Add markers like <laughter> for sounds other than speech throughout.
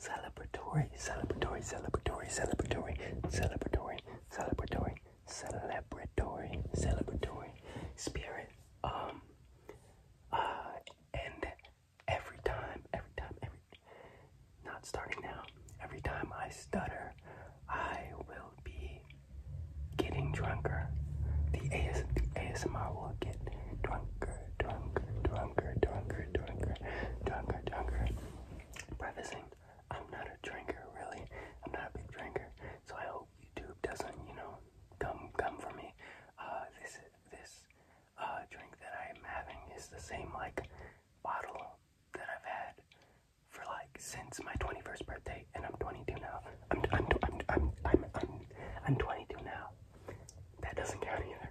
celebratory, celebratory, celebratory, celebratory, celebratory, celebratory, celebratory, celebratory spirit. Um, uh, and every time, every time, every, not starting now, every time I stutter, I will be getting drunker. The, AS, the ASMR will get drunker, drunker, drunker doing good, doing good, doing Prefacing, I'm not a drinker, really. I'm not a big drinker, so I hope YouTube doesn't, you know, come come for me. Uh, this this uh drink that I'm having is the same like bottle that I've had for like since my 21st birthday, and I'm 22 now. I'm I'm I'm I'm I'm I'm, I'm 22 now. That doesn't count either.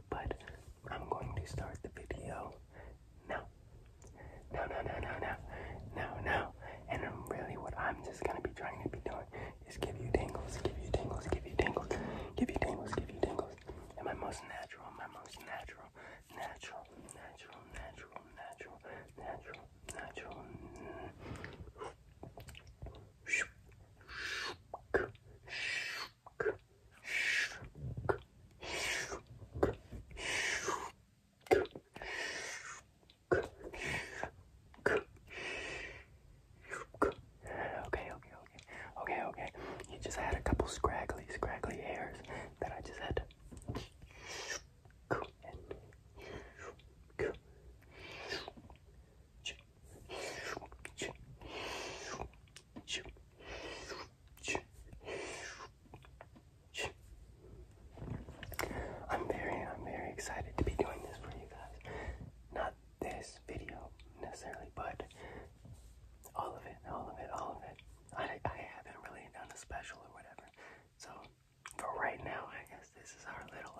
but I'm going to start the video now. No, no, no, no, no, no, no. And really what I'm just gonna be trying to be doing is give you tingles, give you tingles, give you tingles, give you tingles, give you tingles. And my most natural, my most natural, natural, natural, natural, natural, natural, natural. Okay, okay, okay. Okay, okay. You just had a couple scraggly, scraggly hairs that I just had to I'm very, I'm very excited to be doing this for you guys. Not this video necessarily, but all of it, all of it, all of it. I, I haven't really done a special or whatever. So for right now, I guess this is our little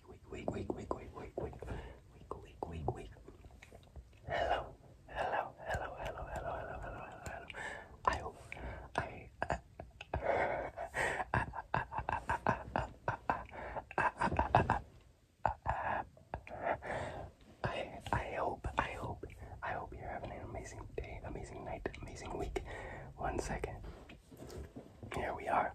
wake, wake, wake, wake, wake, wake, wake, wake, wake, wake, wake. Hello, hello, hello, hello, hello, hello, hello, hello. I hope I. I I hope I hope I hope you're having an amazing day, amazing night, amazing week. One second. Here we are.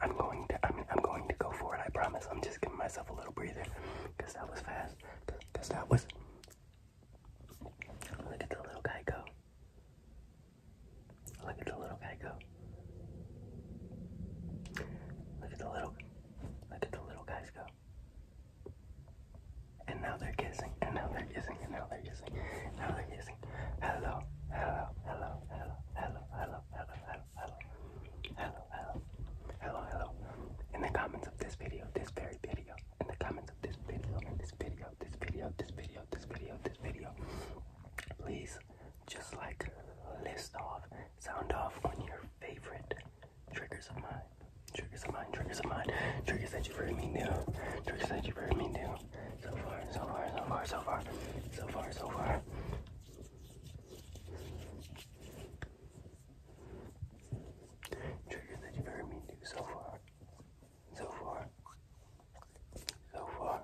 I'm going to. I mean, I'm going to go for it. I promise. I'm just giving myself a little breather, cause that was fast. Cause that was. Look at the little guy go. Look at the little guy go. Look at the little. Look at the little guys go. And now they're kissing. And now they're kissing. And now they're kissing. Now they're kissing amazing. Hello, hello, hello, hello, hello, hello, hello, hello, hello, hello, hello, hello, hello. In the comments of this video, this very video, in the comments of this video, in this video, this video, this video, this video, this video, please just like list off, sound off on your favorite triggers of mine. Triggers of mine, triggers of mine, triggers that you've heard me do, triggers that you've heard me do, so far, so far, so far, so far, so far, so far. Triggers that you've heard me do so far, so far, so far.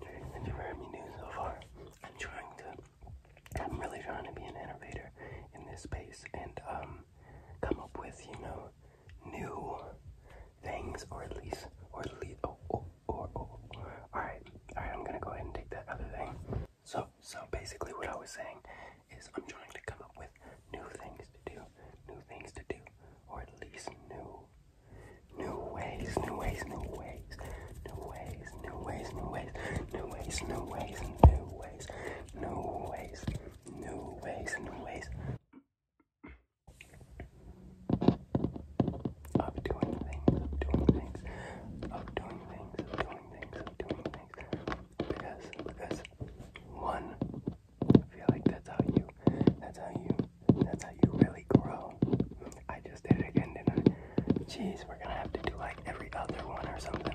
Triggers that you've heard me do so far. I'm trying to, I'm really trying to be an innovator in this space and um, come up with, you know, new things, or at least, or at least, oh, oh, or, oh, oh, oh. All right, all right, I'm gonna go ahead and take that other thing. So, so basically, what I was saying is I'm trying to come up with new things to do, new things to do, or at least new, new ways, new ways, new ways, new ways, new ways, new ways, new ways, new ways, new ways, new ways, new ways, new ways. Of doing things, doing things, of doing things, doing things, of doing things. Because, because, one, I feel like that's how you, that's how you, that's how you really grow. I just did it again, didn't I? Jeez, we're gonna have to do like every other one or something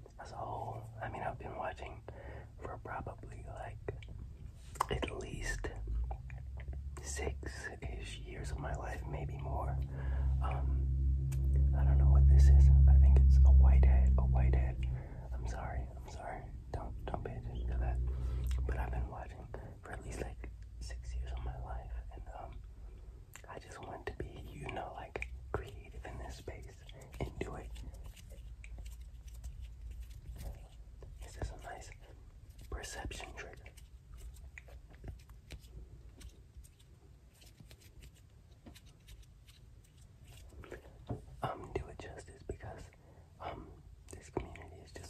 as a whole. I mean, I've been watching for probably like at least six-ish years of my life, maybe more. Um, I don't know what this is. I think it's a whitehead. A whitehead. I'm sorry. I'm sorry. Don't don't pay attention to that. But I've been watching for at least like six years of my life, and um, I just want to be, you know, like creative in this space and do it. This is a nice perception trigger. Um, do it justice because um, this community is just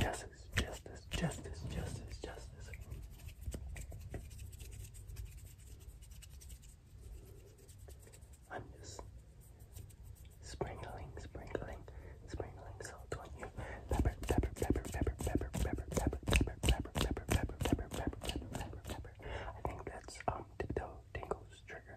Justice, justice, justice, justice, justice. I'm just sprinkling, sprinkling, sprinkling salt on you. Pepper, pepper, pepper, pepper, pepper, pepper, pepper, pepper, pepper, pepper, pepper, pepper, pepper, pepper, pepper. I think that's um tiptoe tingles trigger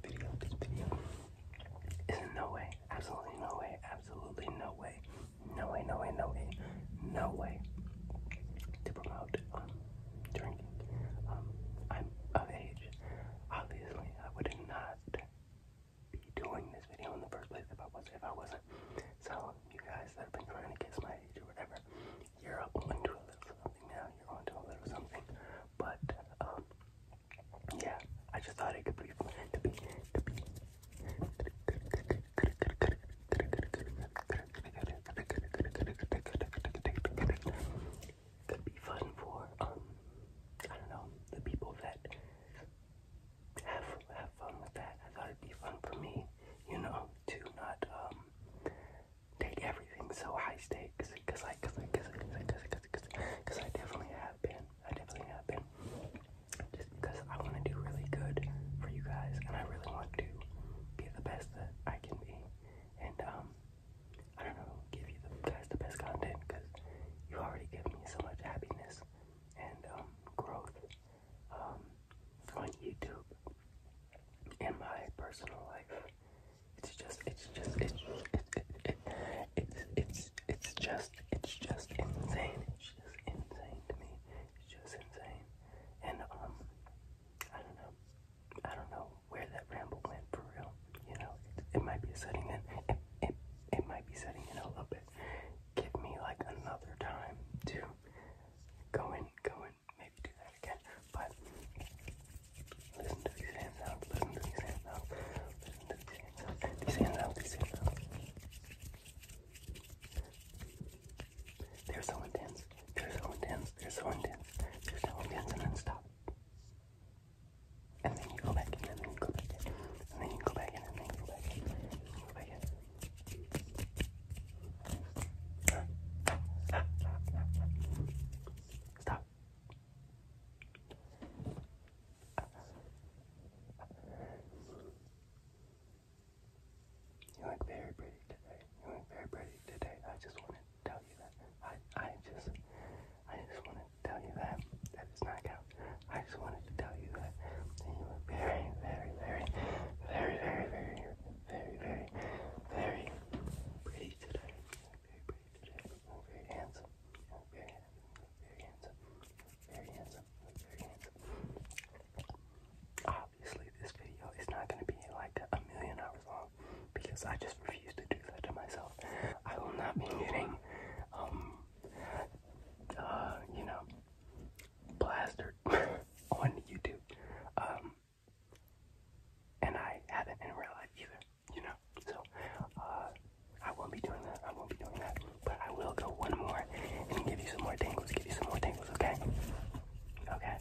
video, this video is no way, absolutely no way, absolutely no way, no way, no way, no way, no way to promote um, drinking. Um, I'm of age. Obviously, I would not be doing this video in the first place if I wasn't. If I wasn't. So, you guys that have been trying to guess my age or whatever, you're up onto something now, you're onto a little something. But um yeah, I just thought it could be fun to be to be could be fun for um I don't know, the people that have have fun with that. I thought it'd be fun for me, you know, to not um take everything so high stakes because I, cause I, cause I, cause I, cause I, cause I, cause I, cause I definitely have been. I definitely have been. Just because I want to do really good for you guys, and I really want to be the best that I can be, and um, I don't know, give you the, guys the best content because you already give me so much happiness and um, growth um, on YouTube and my personal life it's just, it's just, it's, it, it, it, it's, it's just, it's just insane. It's just insane to me. It's just insane. And um, I don't know, I don't know where that ramble went for real. You know, it, it might be setting in. It, it, it might be setting in a little bit. Give me like another time to go in, go in, and maybe do that again. But listen to these hand sounds, listen to these hand sounds, listen to these hand sounds, these hand sounds, these hand sounds. They're so intense, they're so intense, they're so intense, they're so intense, and then stop. And then you go back in, and then you go back in, and then you go back in, and then you go back in, and then you go back in. Stop. You look very pretty today. You look very pretty today. I just want to tell you that. I I just I just want to tell you that. That is not out. just wanted to tell you that. you look very, very, very, very, very, very, very, very pretty today very handsome. very handsome. very handsome. Very handsome. Obviously, this video is not going to be like a million hours long because I just refuse to do that to myself. I will not be getting, um, uh, you know, plastered <laughs> on YouTube. Um, and I haven't in real life either, you know. So uh, I won't be doing that. I won't be doing that. But I will go one more and give you some more tangles. Give you some more tangles, okay? Okay.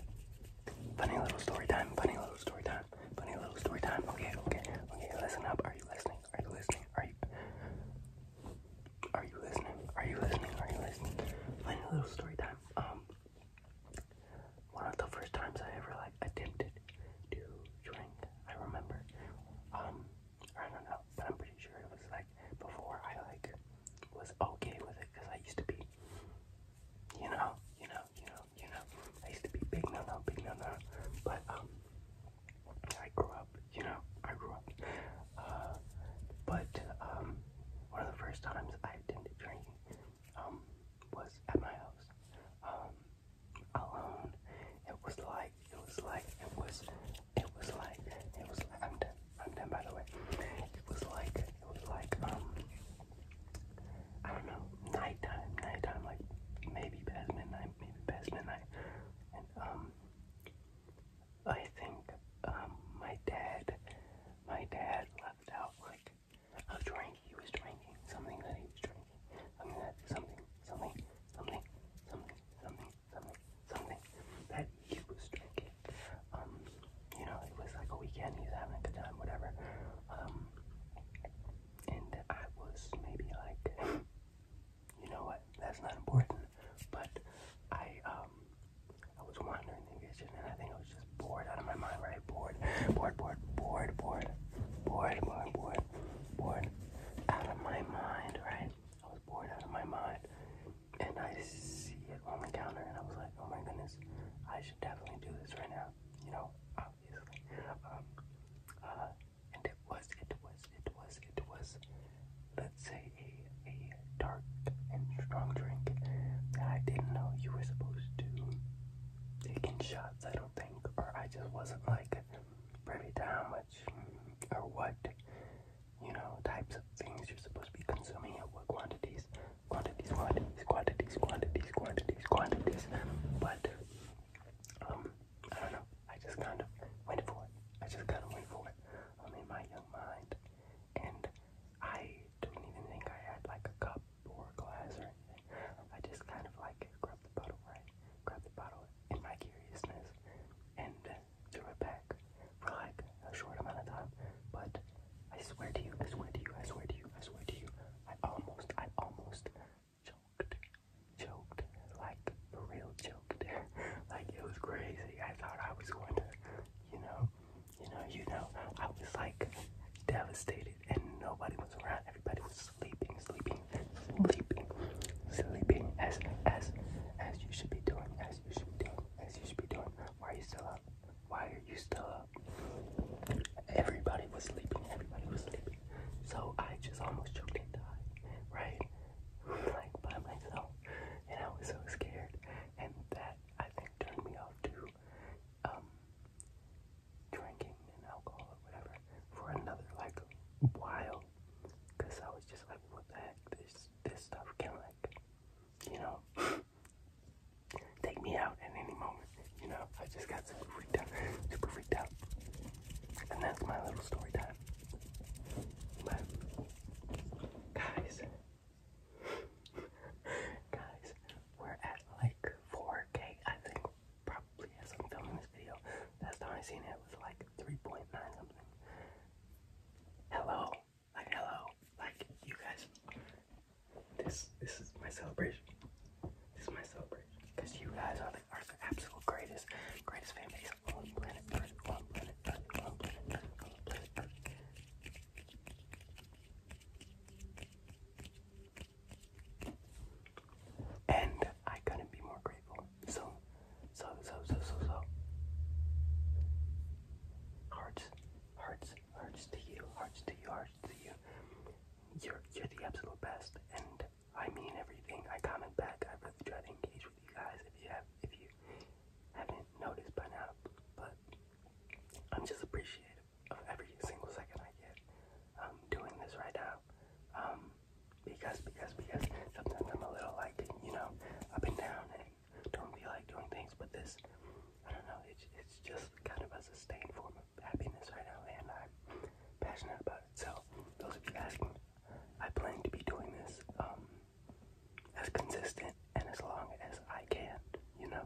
Funny little story time. Funny little story time. Funny little story time. Okay, okay, okay. Listen up. Are you listening? Are you listening? Are you? Are you listening? Are you listening? Are you listening? Funny little story time. Um, one of the first times I ever like attempted to drink, I remember. Um, I don't know, but I'm pretty sure it was like before I like was okay with it because I used to be, you know, you know, you know, you know, I used to be big no no, big no no, but um, I grew up, you know, I grew up. Uh, but um, one of the first times I attempted drinking um, was at my house, um, alone. It was like, it was like, it was, it was like, it was like, I'm done, I'm done by the way. It was like, it was like, um, I don't know, nighttime, nighttime, like maybe past midnight, maybe past midnight. And, um, I think, um, my dad, my dad left out like I was drinking, he was drinking, something that he was drinking, something that, something, something, something, something, something, something, something that he was drinking. Um, you know, it was like a weekend, he was having a good time, whatever. Um, and I was maybe like, <laughs> you know what, that's not important, but I, um, I was wondering think it's just, I think I was just bored out of my mind, right? Bored, bored, bored, bored, bored, bored, bored, bored, bored, out of my mind, right? I was bored out of my mind, and I see it on the counter, and I was like, oh my goodness, I should definitely do this right now, you know, obviously. Um, uh, and it was, it was, it was, it was, let's say, a, a dark and strong drink that I didn't know you were supposed to taking shots, I don't think, or I just wasn't like privy to how much or what you know types of things you're supposed to be consuming at what quantities, quantities, quantities, quantities, quantities, quantities, quantities. But um, I don't know. I just kind of went for it. I just kind of went for it. Um, in my young mind, and I didn't even think I had like a cup or a glass or anything. I just kind of like grab the bottle, right? Grab the bottle in my curiousness and threw it back for like a short amount of time. But I swear to you, I swear to you, I swear to you, I swear to you, I almost, I almost choked, choked, like for real choked. <laughs> like it was crazy. I thought I was going to, you know, you know, you know, I was like devastated and nobody was around. Everybody was sleeping, sleeping, sleeping, sleeping as as as you should be doing, as you should be doing, as you should be doing. Why are you still up? Why are you still up? Everybody was sleeping, everybody was sleeping. So I just almost choked and died, right? Like by myself. And I was so scared. And that I think turned me off to um, drinking and alcohol or whatever for another like while, cause I was just like, what the heck? This this stuff can like, you know, <laughs> take me out at any moment. You know, I just got super freaked out, super freaked out, and that's my little story time. But guys, <laughs> Guys, we're at like 4K, I think, probably as I'm filming this video. Last time I seen it was like 3.9 something. Hello, like hello, like you guys. This this is my celebration. This is my celebration because you guys are the are the absolute greatest, greatest family base on planet Earth, on planet Earth, on planet Earth, on planet Earth. And I couldn't be more grateful. So, so, so, so, so, so. Hearts, hearts, hearts to you, hearts to you, hearts to you. You're, you're the absolute best, and I mean everything. I comment back. I really try to engage with you guys. If you have, if you haven't noticed by now, but I'm just appreciative of every single second I get um, doing this right now. Um, because, because, because sometimes I'm a little like, you know, up and down and don't feel like doing things, but this, I don't know, it's, it's just kind of a sustained form of happiness right now, and I'm passionate about it. So, those of you asking, I plan to be doing this um, as consistent and as long as I can, you know,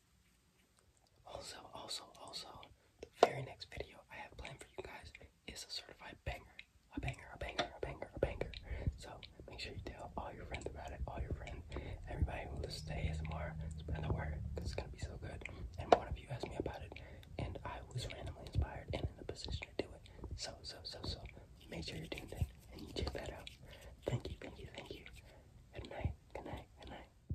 Also, also, also, the very next video I have planned for you guys is a certified banger. A banger, a banger, a banger, a banger. So make sure you tell all your friends about it, all your friends, everybody who listens is more spread the word, because it's gonna be so good. And one of you asked me about it, and I was randomly inspired and in a position to do it. So, so, so, so, make sure you're tuned in and you check that out. Thank you, thank you, thank you. Good night, good night, good night.